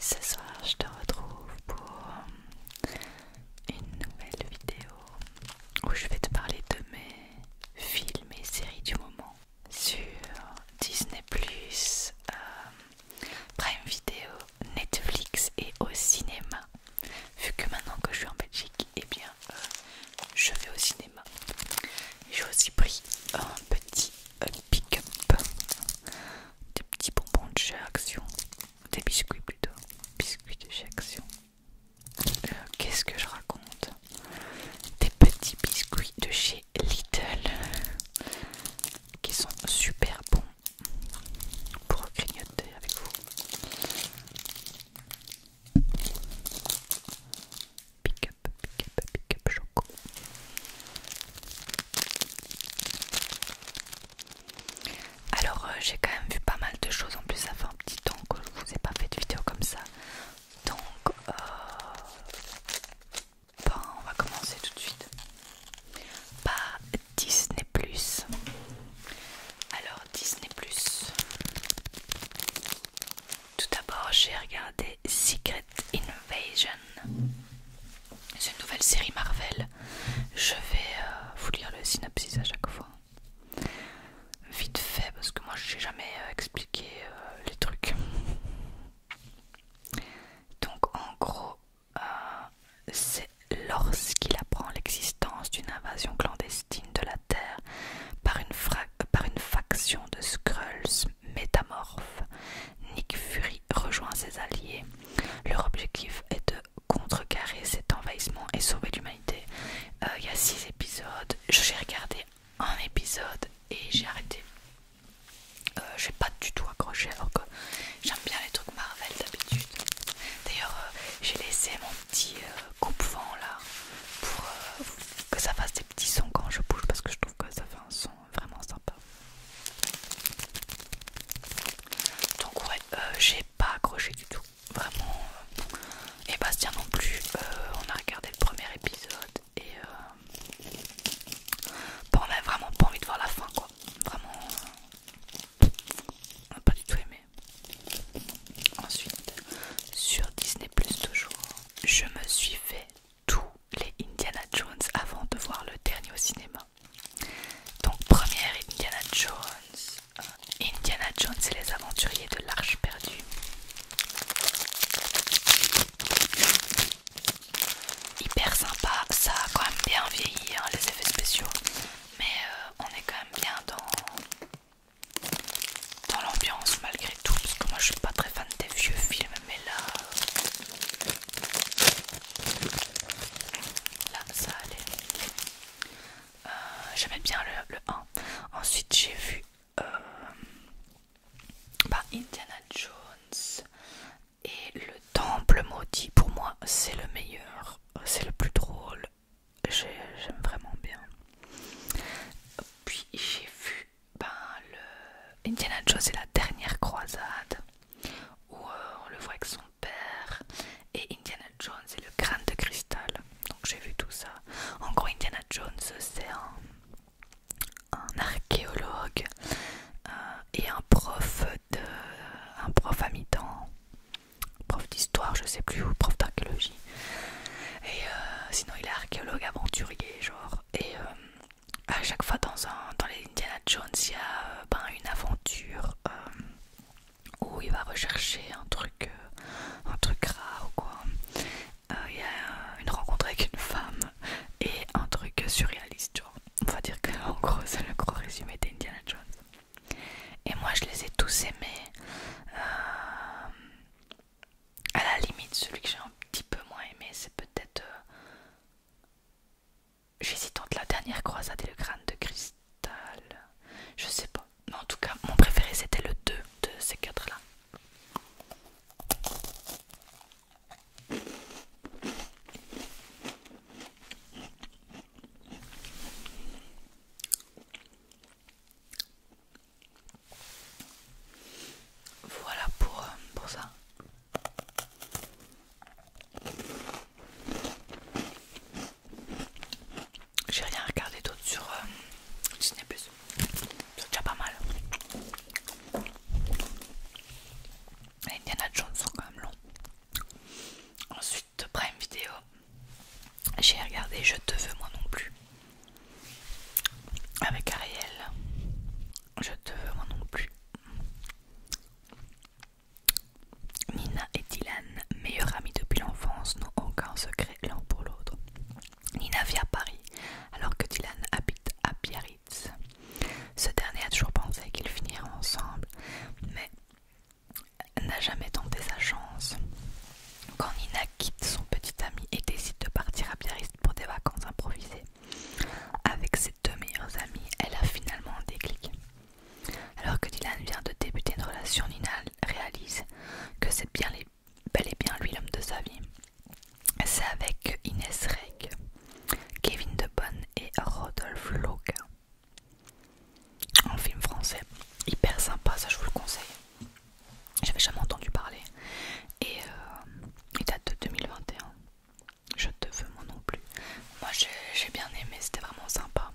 Ce soir, je te retrouve pour une nouvelle vidéo où je vais te parler de mes films et séries du moment sur Disney euh, Prime Video, Netflix et au cinéma. Vu que maintenant que je suis en Belgique, eh bien euh, je vais au cinéma. J'ai aussi pris un petit euh, pick-up, des petits bonbons de chez Action, des biscuits plutôt, biscuits de chez Action qu'est-ce que je raconte Des petits biscuits de chez Little qui sont super bons pour grignoter avec vous. Pick up, pick up, pick up choco. Alors euh, j'ai quand même vu pas mal de choses en plus ça fait un petit temps que je vous ai pas fait de vidéo comme ça donc euh, ben, on va commencer tout de suite par Disney alors Disney tout d'abord j'ai regardé Secret Invasion c'est une nouvelle série Marvel je vais euh, vous lire le synopsis à chaque fois vite fait parce que moi j'ai jamais euh, expliqué euh, les trucs. Donc en gros, euh, c'est lorsqu'il apprend l'existence d'une invasion clandestine de la Terre par par une faction de Skrulls métamorphes, Nick Fury rejoint ses alliés. Leur objectif est de contrecarrer cet envahissement et sauver l'humanité. Euh, il y a 6 épisodes, j'ai regardé un épisode et j'ai arrêté. Euh, j'ai pas du tout accroché alors que j'aime bien les trucs Marvel d'habitude. D'ailleurs, euh, j'ai laissé mon petit coupe-vent là pour que ça fasse des petits sons quand je bouge parce que je trouve que ça fait un son vraiment sympa. Donc, ouais, j'ai pas accroché du tout. Vraiment. Et euh, Bastien non plus. Euh, on a regardé le premier épisode et euh, bah, on a vraiment pas envie de voir la fin quoi. Vraiment. On pas du tout aimé. Ensuite, sur Disney Plus toujours, je me suis fait tous les Indiana Jones avant de voir le dernier au cinéma. Donc première Indiana Jones, Indiana Jones et les aventuriers de l'Arche perdue. Hyper sympa, ça a quand même bien vieilli hein, les effets spéciaux, mais euh, on est quand même bien dans, dans l'ambiance malgré tout, parce moi je suis pas très fan des vieux films, mais là, là ça allait. Euh, j'aimais bien le, 1. Ensuite, j'ai vu euh, bah, Indiana Jones et le Temple Maudit. Pour moi, c'est le meilleur, c'est le plus drôle. J'aime vraiment bien. Puis j'ai vu ben, le Indiana Jones et la dernière croisade où euh, on le voit avec son et Indiana Jones et le crâne de cristal. Donc j'ai vu tout ça. encore gros, Indiana Jones, c'est un, un archéologue euh, et un prof de un prof à mi-temps, prof d'histoire, je sais plus, ou prof d'archéologie. Et euh, sinon, il est archéologue aventurier, genre. Et euh, à chaque fois dans un dans les Indiana Jones, il y a ben, une aventure où il va rechercher un truc, euh, un truc gras ou quoi. Euh, il y a une rencontre avec une femme et un truc surréaliste, On va dire que gros c'est le gros résumé d'Indiana Jones. Et moi je les ai tous aimés. Euh, à la limite, celui que j'ai un petit peu moins aimé, c'est peut-être. J'hésite la dernière croisade et le crâne de Christ je sais pas. Mais en tout cas, mon préféré c'était le 2 de ces quatre là. Voilà pour, euh, pour ça. J'ai rien regardé d'autre sur euh, Disney+. C'est déjà pas mal. de Indiana Jones sont quand même longs. Ensuite, Prime Vidéo. J'ai regardé Je te veux moi non plus. Avec Ariel. Je te veux moi non plus. Nina et Dylan, meilleurs amis depuis l'enfance, n'ont aucun secret l'un pour l'autre. Nina vit à Paris, alors que Dylan habite à Biarritz. Ce dernier a toujours pensé qu'ils finiraient ensemble, mais n'a jamais tenté sa chance. Quand Nina quitte son petit ami et décide de partir à Biarritz pour des vacances improvisées, avec ses deux meilleures amis, elle a finalement un déclic. Alors que Dylan vient de débuter une relation, Nina réalise que c'est bien bel et bien lui l'homme de sa vie. C'est avec Inès Reg, Kevin De Bon et Rodolphe Loga. Un film français, hyper sympa, ça je vous le conseille. J'avais jamais entendu parler. Et euh, il date de 2021. Je te veux, moi non plus. Moi j'ai bien aimé, c'était vraiment sympa.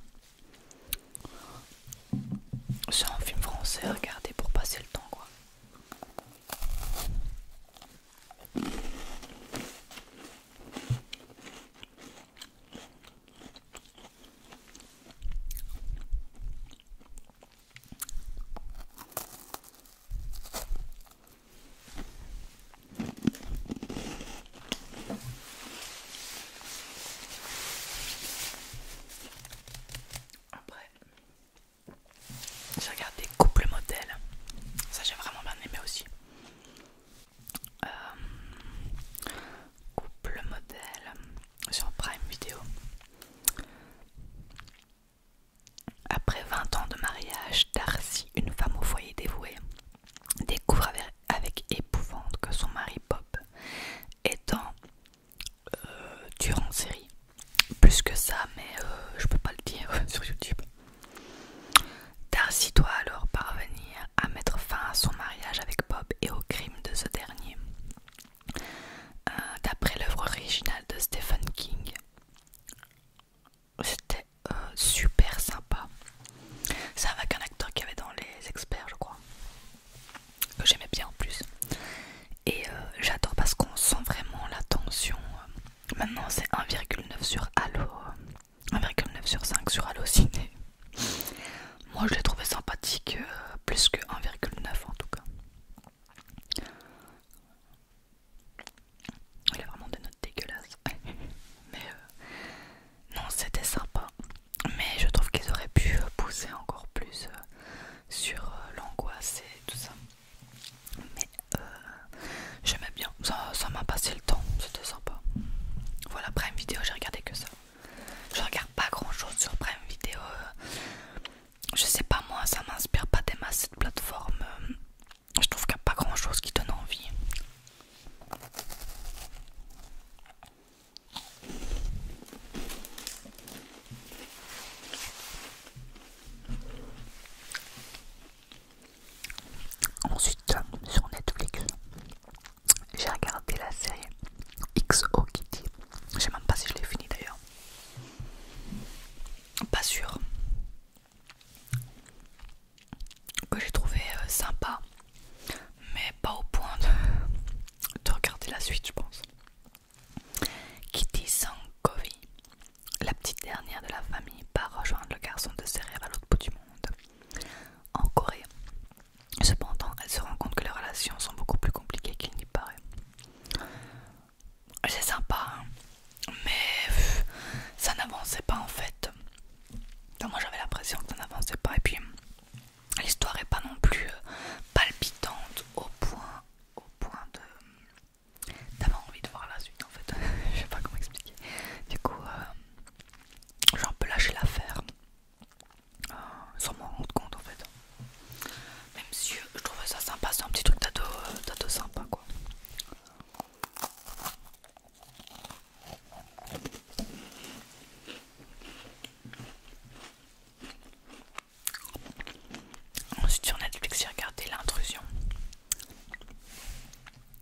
C'est un film français regardez pour passer le temps après, j'ai regardé Couple modèle Ça, j'ai vraiment bien aimé aussi. Euh, couple modèle sur Prime Video. Après 20 ans de mariage, Darcy, une femme au foyer dévouée, découvre avec, épouvante que son mari Bob est en durant euh, en série. Plus que ça, mais euh, je peux pas le dire sur YouTube. Darcy doit alors parvenir à mettre fin à son mariage avec Bob et au crime de ce dernier. Euh, d'après l'œuvre originale de Stephen King, c'était super sympa. C'est avec un acteur qu'il y avait dans Les Experts, je crois, que j'aimais bien en plus. Et euh, j'adore parce qu'on sent vraiment la tension. Euh. Maintenant, c'est 1,9 sur Halo, 1,9 euh, sur 5 sur Halo Ciné. Moi, je l'ai trouvé sympathique, plus que 1,9 en tout cas. Il a vraiment des notes dégueulasses. Mais non, c'était sympa mais je trouve qu'ils auraient pu pousser encore plus euh, sur euh, l'angoisse et tout ça. Mais euh, j'aimais bien, ça m'a passé le temps, c'était sympa. Voilà, Prime Vidéo, j'ai regardé que ça. Je regarde pas grand chose sur Prime Vidéo. Je sais pas, moi, ça m'inspire pas des masses cette plateforme. Je trouve qu'il n'y a pas grand chose qui donne envie. Ensuite, sur Netflix, j'ai regardé la série XO Kitty. Je sais même pas si je l'ai fini d'ailleurs. Pas sûr que j'ai trouvé euh, sympa, mais pas au point de, regarder la suite, je pense. Kitty Sankovi, la petite dernière de la famille, part rejoindre le garçon de ses à l'autre bout du monde, en Corée. Cependant, elle se rend compte que les relations sont beaucoup plus compliquées qu'il n'y paraît. C'est sympa, hein, mais ça n'avançait pas en fait moi j'avais l'impression que ça n'avançait pas et puis l'histoire est pas non plus euh, palpitante au point au point de d'avoir envie de voir la suite en fait. Je sais pas comment expliquer. Du coup euh, j'ai un peu lâché l'affaire euh, sans m'en rendre compte en fait. Même si je trouvais ça sympa, c'est un petit truc d'ado sympa quoi. Ensuite sur Netflix j'ai regardé l'intrusion.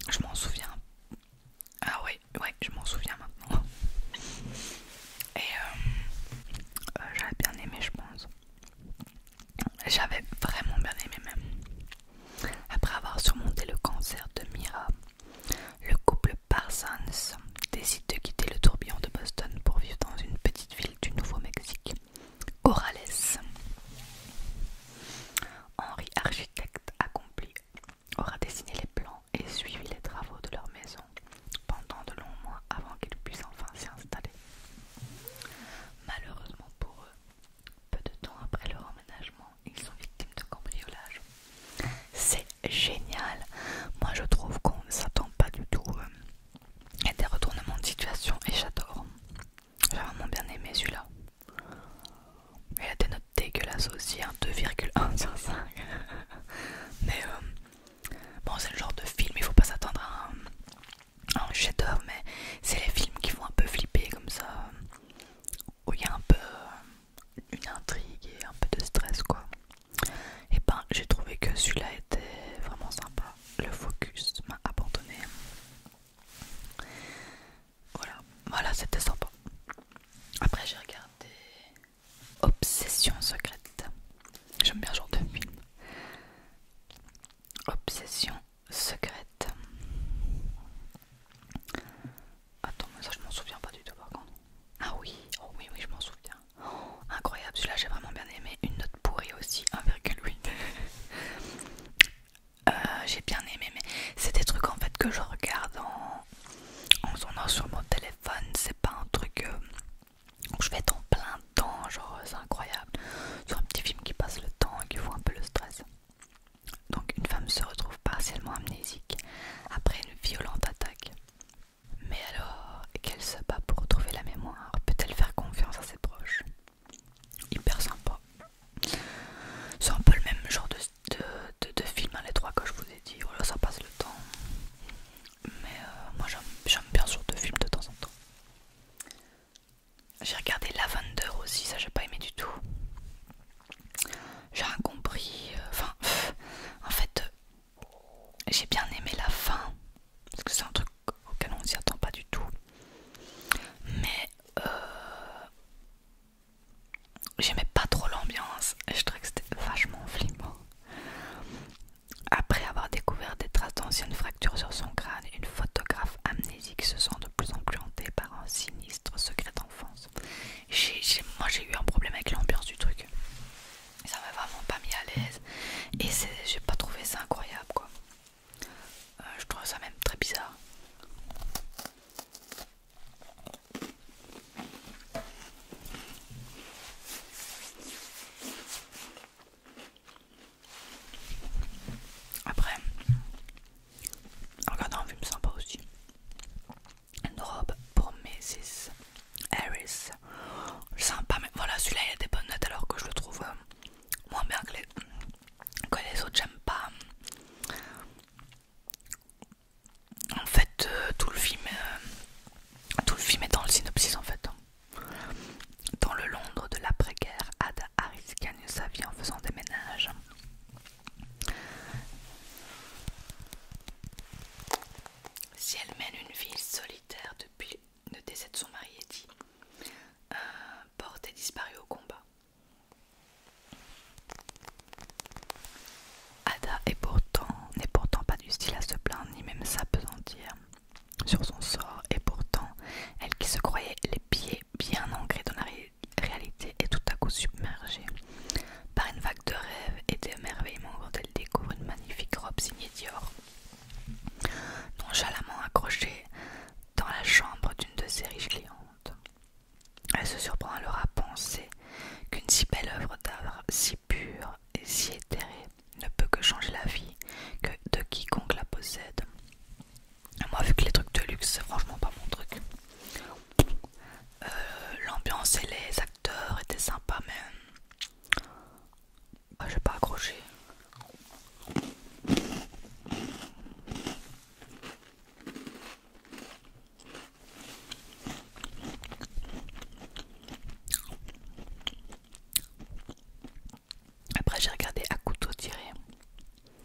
Je m'en souviens. Ah ouais, ouais, je m'en souviens maintenant. Et euh, euh, j'avais bien aimé je pense. J'avais vraiment bien aimé même. Après avoir surmonté le cancer de Mira, le couple Parsons décide de quitter le tourbillon de Boston pour vivre dans une petite ville du Nouveau-Mexique, Orales Henri, architecte accompli, aura dessiné les plans et suivi les travaux de leur maison pendant de longs mois avant qu'ils puissent enfin s'y installer. Malheureusement pour eux, peu de temps après leur emménagement, ils sont victimes de cambriolage. C'est génial. Moi je trouve qu'on ne s'attend pas du tout euh, à des retournements de situation et j'adore. J'ai vraiment bien aimé celui-là. Il a des notes dégueulasses aussi, 2,1 hein, sur 5. mais euh, bon, c'est le genre de film, il faut pas s'attendre à un un chef d'œuvre mais c'est les films qui font un peu flipper comme ça euh, où il y a un peu une intrigue et un peu de stress quoi. Et ben j'ai trouvé que celui-là était vraiment sympa. Le focus m'a abandonné. Voilà, voilà c'était sympa. Après j'ai regardé Obsession secrète. J'aime bien genre de Obsession secrète. Attends, mais ça je m'en souviens pas du tout par contre. Ah oui, oh oui, oui, je m'en souviens. Oh, incroyable, celui-là j'ai vraiment bien aimé. Une note pourrie aussi, 1,8. Euh, j'ai bien aimé, mais c'est des trucs en fait que je regarde en, en sur mon téléphone. C'est pas un truc euh, où je vais être en plein temps, genre c'est incroyable. Sur un petit film qui passe le temps et qui fout un peu le stress. Donc une femme se retrouve partiellement amnésique après une violente attaque. Mais alors qu'elle se bat pour retrouver la mémoire, peut-elle faire confiance à ses proches Hyper sympa. C'est un peu le même genre de, film, à hein, les trois que je vous ai dit. là ça passe le temps. Mais euh, moi j'aime bien sûr de films de temps en temps. J'ai regardé La Lavender aussi, ça j'ai pas aimé du tout. J'ai rien compris. Euh, enfin, en fait, euh, j'ai bien aimé la fin. Parce que c'est un truc auquel on s'y attend pas du tout. Mais euh, j'aimais pas trop l'ambiance. Je trouvais que c'était vachement flippant. Après avoir découvert des traces d'anciennes fractures sur son crâne, une photographe amnésique se sent de plus en plus hantée par un sinistre secret d'enfance moi j'ai eu un problème avec l'ambiance du truc. Ça m'a vraiment pas mis à l'aise et j'ai pas trouvé ça incroyable quoi. Euh, je trouve ça même très bizarre. Après, Regardant un film sympa aussi. Une robe pour Mrs. Harris. Sympa, mais voilà, celui-là il a des bonnes notes alors que je le trouve euh, moins bien euh, que les, autres. J'aime pas. En fait, euh, tout, le film, tout le film est dans le synopsis en fait. Dans le Londres de l'après-guerre, Ada Harris gagne sa vie en faisant des ménages. Si elle mène une vie solitaire depuis le décès de son mari, Eddie, euh, Porte et disparue au combat. Ada n'est pourtant, pourtant pas du style à se plaindre ni même s'apesantir sur son sort, et pourtant, elle qui se croyait les pieds bien ancrés dans la réalité réalité est tout à coup submergée par une vague de rêves et d'émerveillement quand elle découvre une magnifique robe signée Dior, nonchalamment accrochée dans la chambre d'une de ses riches clientes. Elle se surprend alors à penser qu'une si belle œuvre d'art, si pure et si éthérée, ne peut que changer la vie que de quiconque la possède. Moi, vu que les trucs de luxe, c'est franchement pas mon truc. Euh, l'ambiance et les acteurs étaient sympas, mais ah, j'ai pas accroché. Après j'ai regardé à couteau tiré.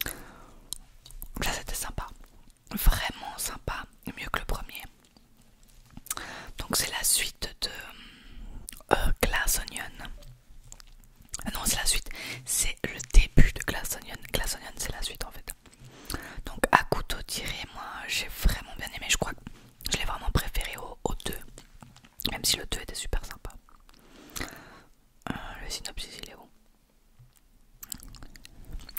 Là c'était sympa vraiment sympa, mieux que le premier. Donc c'est la suite de euh, Glass Onion. Ah non, c'est la suite, c'est le début de Glass Onion. Glass Onion, c'est la suite en fait. Donc à couteau tiré, moi j'ai vraiment bien aimé. Je crois que je l'ai vraiment préféré au, au 2, même si le 2 était super sympa. Euh, le synopsis, il est où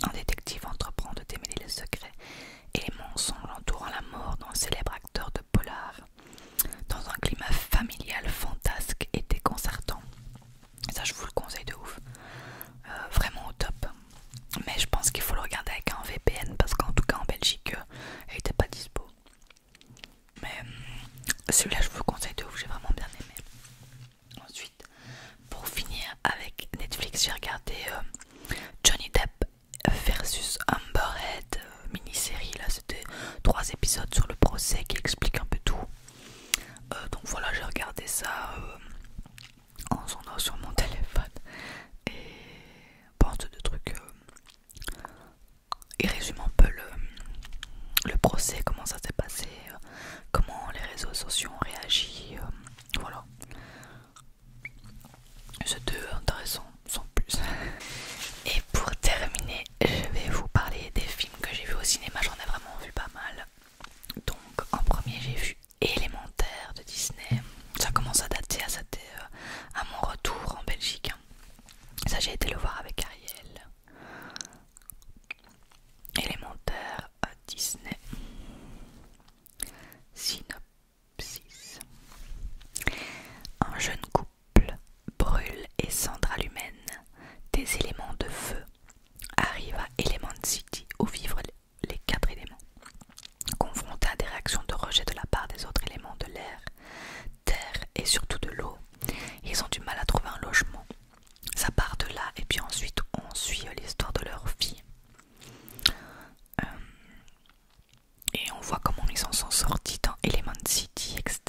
un détective entreprend de démêler les secrets et les mensonges entourant la mort d'un célèbre acteur de polar dans un climat familial fantasque et déconcertant. Ça, je vous le conseille de ouf. Euh, vraiment au top. Mais je pense qu'il faut le regarder avec un VPN parce qu'en tout cas en Belgique, Elle euh, il n'était pas dispo. Mais euh, celui-là, je vous le conseille de ouf, j'ai vraiment bien aimé. Ensuite, pour finir avec Netflix, j'ai regardé euh, Johnny Depp versus Amber euh, mini-série. Là, c'était trois épisodes sur le procès qui explique un peu tout. Euh, donc voilà, j'ai regardé ça en sonnant sur mon téléphone et porte de trucs. et il résume un peu le, le procès, comment ça s'est passé, euh, comment les réseaux sociaux ont réagi. Euh, voilà. C'était intéressant, sans plus. Et pour terminer, je vais vous parler des films que j'ai vus au cinéma. J'en ai vraiment vu pas mal. Donc, en premier, j'ai vu Élémentaire de Disney. Ça commence à dater, à, euh, à mon retour en Belgique. Hein. Ça, j'ai été le voir avec Ariel. Élémentaire, Disney. Synopsis Un jeune couple, Brûle et Sandra des éléments de feu, Arrivent à Element City où vivent les quatre éléments. Confrontés à des réactions de rejet de la part des autres éléments de l'air, terre et surtout de l'eau, ils ont du mal à trouver un logement ça part de là et puis ensuite on suit l'histoire de leur vie euh, et on voit comment ils en sont sortis dans Element City etc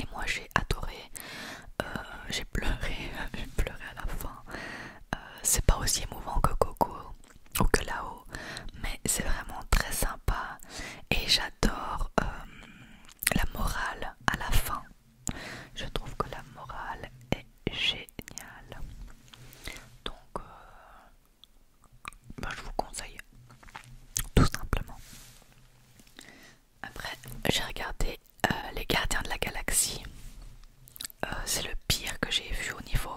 et moi j'ai adoré euh, j'ai pleuré j'ai pleuré à la fin euh, c'est pas aussi émouvant que Coco ou que là mais c'est vraiment très sympa et j'adore la morale à la fin je trouve que la morale est géniale. Donc, euh, bah, je vous conseille tout simplement. Après, j'ai regardé euh, Les Gardiens de la Galaxie. Euh, c'est le pire que j'ai vu au niveau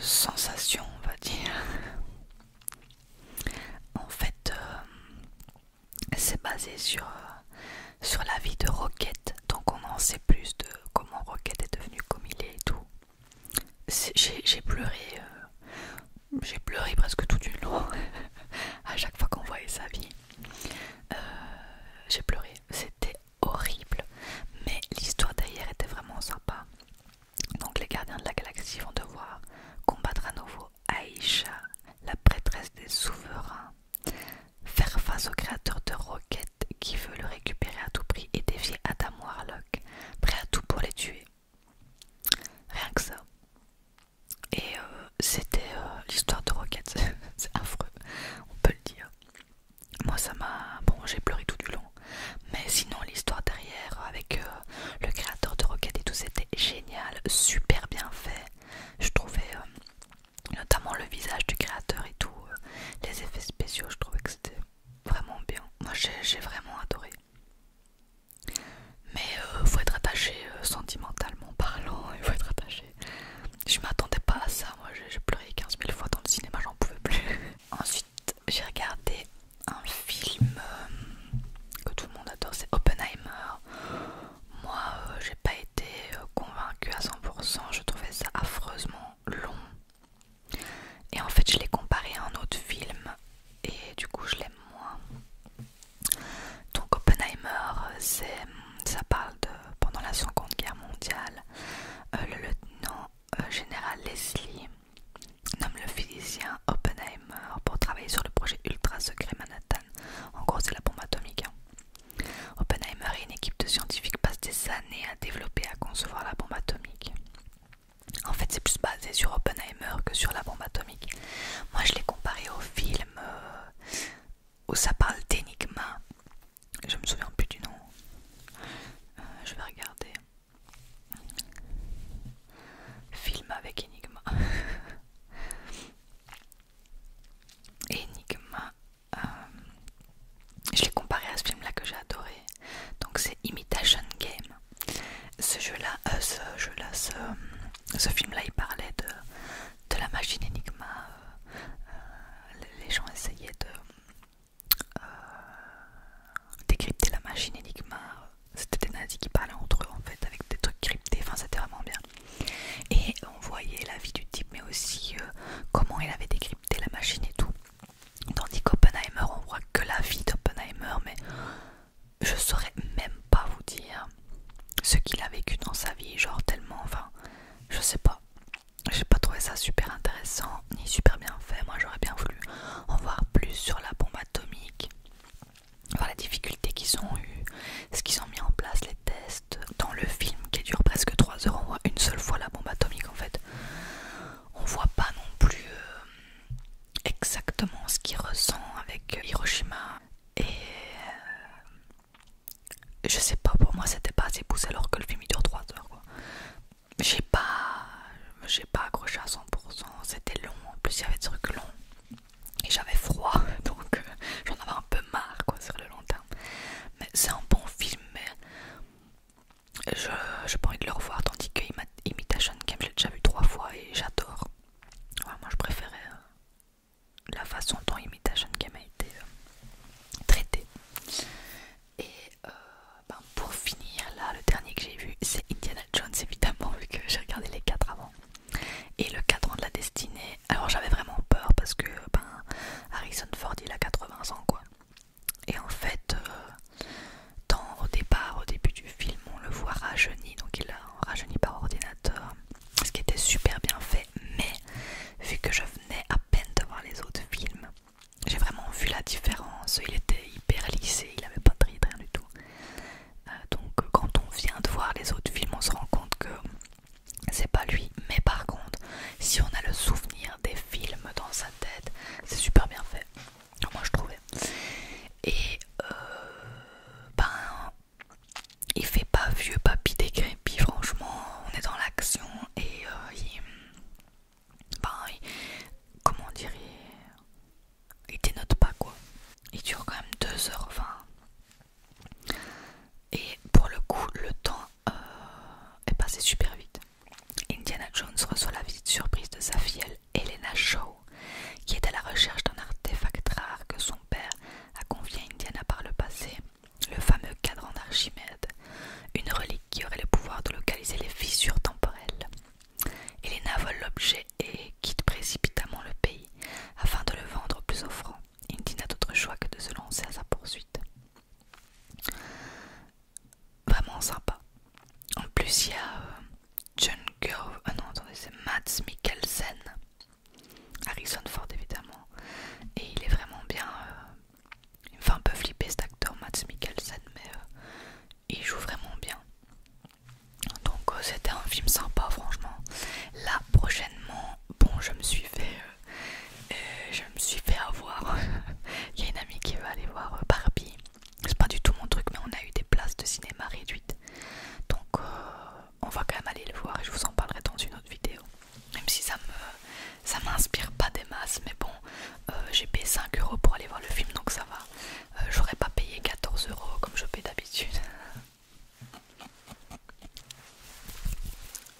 sensation, on va dire. En fait, euh, c'est basé euh, sur, la vie de Roquette donc on en sait plus de comment Roquette est devenu comme il est et tout. J'ai pleuré, euh, j'ai pleuré presque tout du long à chaque fois qu'on voyait sa vie. j'ai pleuré, c'était horrible, mais l'histoire d'ailleurs était vraiment sympa. Donc les gardiens de la galaxie vont devoir combattre à nouveau Aisha, la prêtresse des souverains, faire face au créateur de roquettes qui veut le récupérer à tout prix et défier Adam Warlock, prêt à tout pour les tuer. Rien que ça. Et euh, c'était euh, l'histoire de Rocket, c'est affreux, on peut le dire. Moi ça m'a... Bon, j'ai pleuré tout du long. Mais sinon l'histoire derrière avec euh, le créateur de Rocket et tout, c'était génial, super bien fait. Je trouvais euh, notamment le visage du créateur et tout, euh, les effets spéciaux, je trouvais que c'était vraiment bien. Moi j'ai vraiment adoré. Mais il euh, faut être attaché sentimentalement parlant, il faut être attaché. Je m'attendais pas à ça, moi j'ai pleuré 15 000 fois dans le cinéma, j'en pouvais plus. Ensuite j'ai regardé un film euh, que tout le monde adore, c'est Oppenheimer. Moi, euh, j'ai pas été euh, convaincue à 100%, je trouvais ça affreusement long. Et en fait, je l'ai comparé à un autre film et du coup, je l'aime moins. Donc, Oppenheimer, c'est, ça parle de pendant la Seconde Guerre mondiale, le lieutenant général Leslie nomme le physicien Oppenheimer pour travailler sur le projet ultra secret Manhattan. En gros, c'est la bombe atomique. Hein. Oppenheimer et une équipe de scientifiques passent des années à développer à concevoir la bombe atomique. En fait, c'est plus basé sur Oppenheimer que sur la bombe atomique. Moi, je l'ai comparé au film euh, où ça parle d'énigma. Je me souviens plus du nom. Euh, je vais regarder. Film avec Enigma. Enigma. Euh, je l'ai comparé à ce film là que j'ai adoré. Donc c'est Imitation Game. Ce jeu là, euh, ce film là, il parlait de, de la machine Enigma. Euh, les gens essayaient de décrypter la machine Enigma. Euh, c'était des nazis qui parlaient entre eux en fait, avec des trucs cryptés. Enfin, c'était vraiment bien. Et on voyait la vie du type, mais aussi euh, comment il avait décrypté la machine et tout. Tandis qu'Oppenheimer, on voit que la vie d'Oppenheimer, mais je saurais même pas vous dire ce qu'il a vécu dans sa vie, genre tellement, enfin, je sais pas. J'ai pas trouvé ça super intéressant ni super bien fait. Moi, j'aurais bien voulu en voir plus sur la bombe atomique, voilà la difficulté qu'ils ont eu, ce qu'ils ont mis en place, les tests dans le film qui dure presque 3 heures, on voit une seule fois la bombe atomique en fait. On voit pas non plus euh, exactement ce qu'il ressent avec Hiroshima et euh, je sais pas pour moi c'était pas assez poussé alors que le film il dure 3 heures quoi. J'ai pas j'ai pas accroché à 100% c'était long, en plus il y avait des trucs longs et j'avais froid donc euh, j'en avais un peu marre quoi sur le long terme. Mais c'est un bon film, mais je n'ai pas envie de le revoir tandis que Imitation Game, j'ai déjà vu trois fois et j'adore. moi je préférais euh, la façon dont Imitation Game a été euh, traité Et bah, pour finir, là, le dernier que j'ai vu, c'est Indiana Jones, évidemment, vu que j'ai regardé les quatre avant. Et le cadran de la destinée, alors j'avais vraiment peur parce que ben, Harrison Ford il a 80 ans quoi. Et en fait, euh, au départ, au début du film, on le voit rajeuni, donc il a rajeuni par ordinateur, ce qui était super bien fait, mais vu que je venais à peine de voir les autres films, j'ai vraiment vu la différence. Il était hyper lissé, il avait pas de rien du tout. Euh, donc quand on vient de voir les autres films, on se rend compte que c'est pas lui. Mais par contre, si on a le souvenir des films dans sa tête, c'est super bien fait. Moi je trouvais. Et euh, ben, il fait pas vieux papy décrépit, franchement, on est dans l'action et euh, il, ben, comment dire, il dénote pas quoi. Il dure quand même 2h20. Et pour le coup, le temps euh, est passé super vite. Indiana Jones reçoit la visite surprise de sa fille Elena Shaw, qui est à la recherche d'un artefact rare que son père a confié à Indiana par le passé, le fameux cadran d'Archimède, une relique qui aurait le pouvoir de localiser les fissures temporelles. Elena vole l'objet et quitte précipitamment le pays afin de le vendre au plus offrant. Il n'a d'autre choix que de se lancer à sa poursuite. Vraiment sympa. En plus, il y a euh, John Girl... ah oh non, attendez, c'est Mads Mikkelsen, Harrison Ford évidemment, et il est vraiment bien. Euh, il me fait un peu flipper cet acteur Mads Mikkelsen, mais euh, il joue vraiment bien. Donc euh, c'était un film sympa franchement. Là prochainement, bon je me suis fait euh, euh, je me suis fait avoir. Il y a une amie qui veut aller voir Barbie. C'est pas du tout mon truc mais on a eu des places de cinéma réduites. Donc on va quand même aller le voir et je vous en parlerai dans une autre vidéo. Même si ça me ça m'inspire pas des masses mais bon j'ai payé 5 euros pour aller voir le film donc ça va euh, j'aurais pas payé 14 euros comme je paie d'habitude.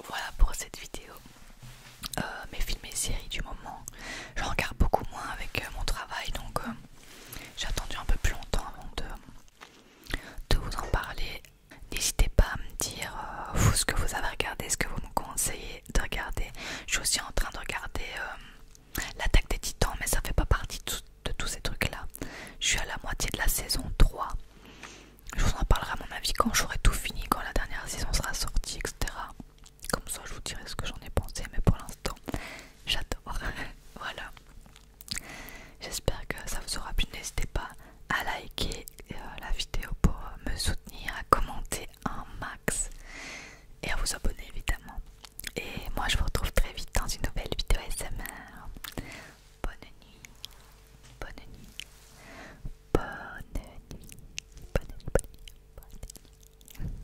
voilà pour cette vidéo. Euh, mes films et séries du moment, je regarde beaucoup moins avec euh, mon travail donc j'ai attendu un peu plus longtemps avant de, vous en parler. N'hésitez pas à me dire ce que vous avez regardé, ce que vous me conseillez de regarder. Je suis aussi en train de regarder L'attaque des titans, mais ça fait pas partie de, tous ces trucs-là. Je suis à la moitié de la saison 3. Je vous en parlerai à mon avis quand j'aurai tout fini, quand la dernière saison sera sortie, etc. Comme ça, je vous dirai ce que j'en ai pensé, mais pour l'instant, j'adore. voilà. J'espère que ça vous aura plu. N'hésitez pas à liker euh, la vidéo pour euh, me soutenir, à commenter un max et à vous abonner évidemment. Et moi je vous retrouve très vite dans une nouvelle vidéo ASMR. Bonne nuit, bonne nuit, bonne nuit, bonne nuit, bonne nuit, bonne nuit. Bonne nuit.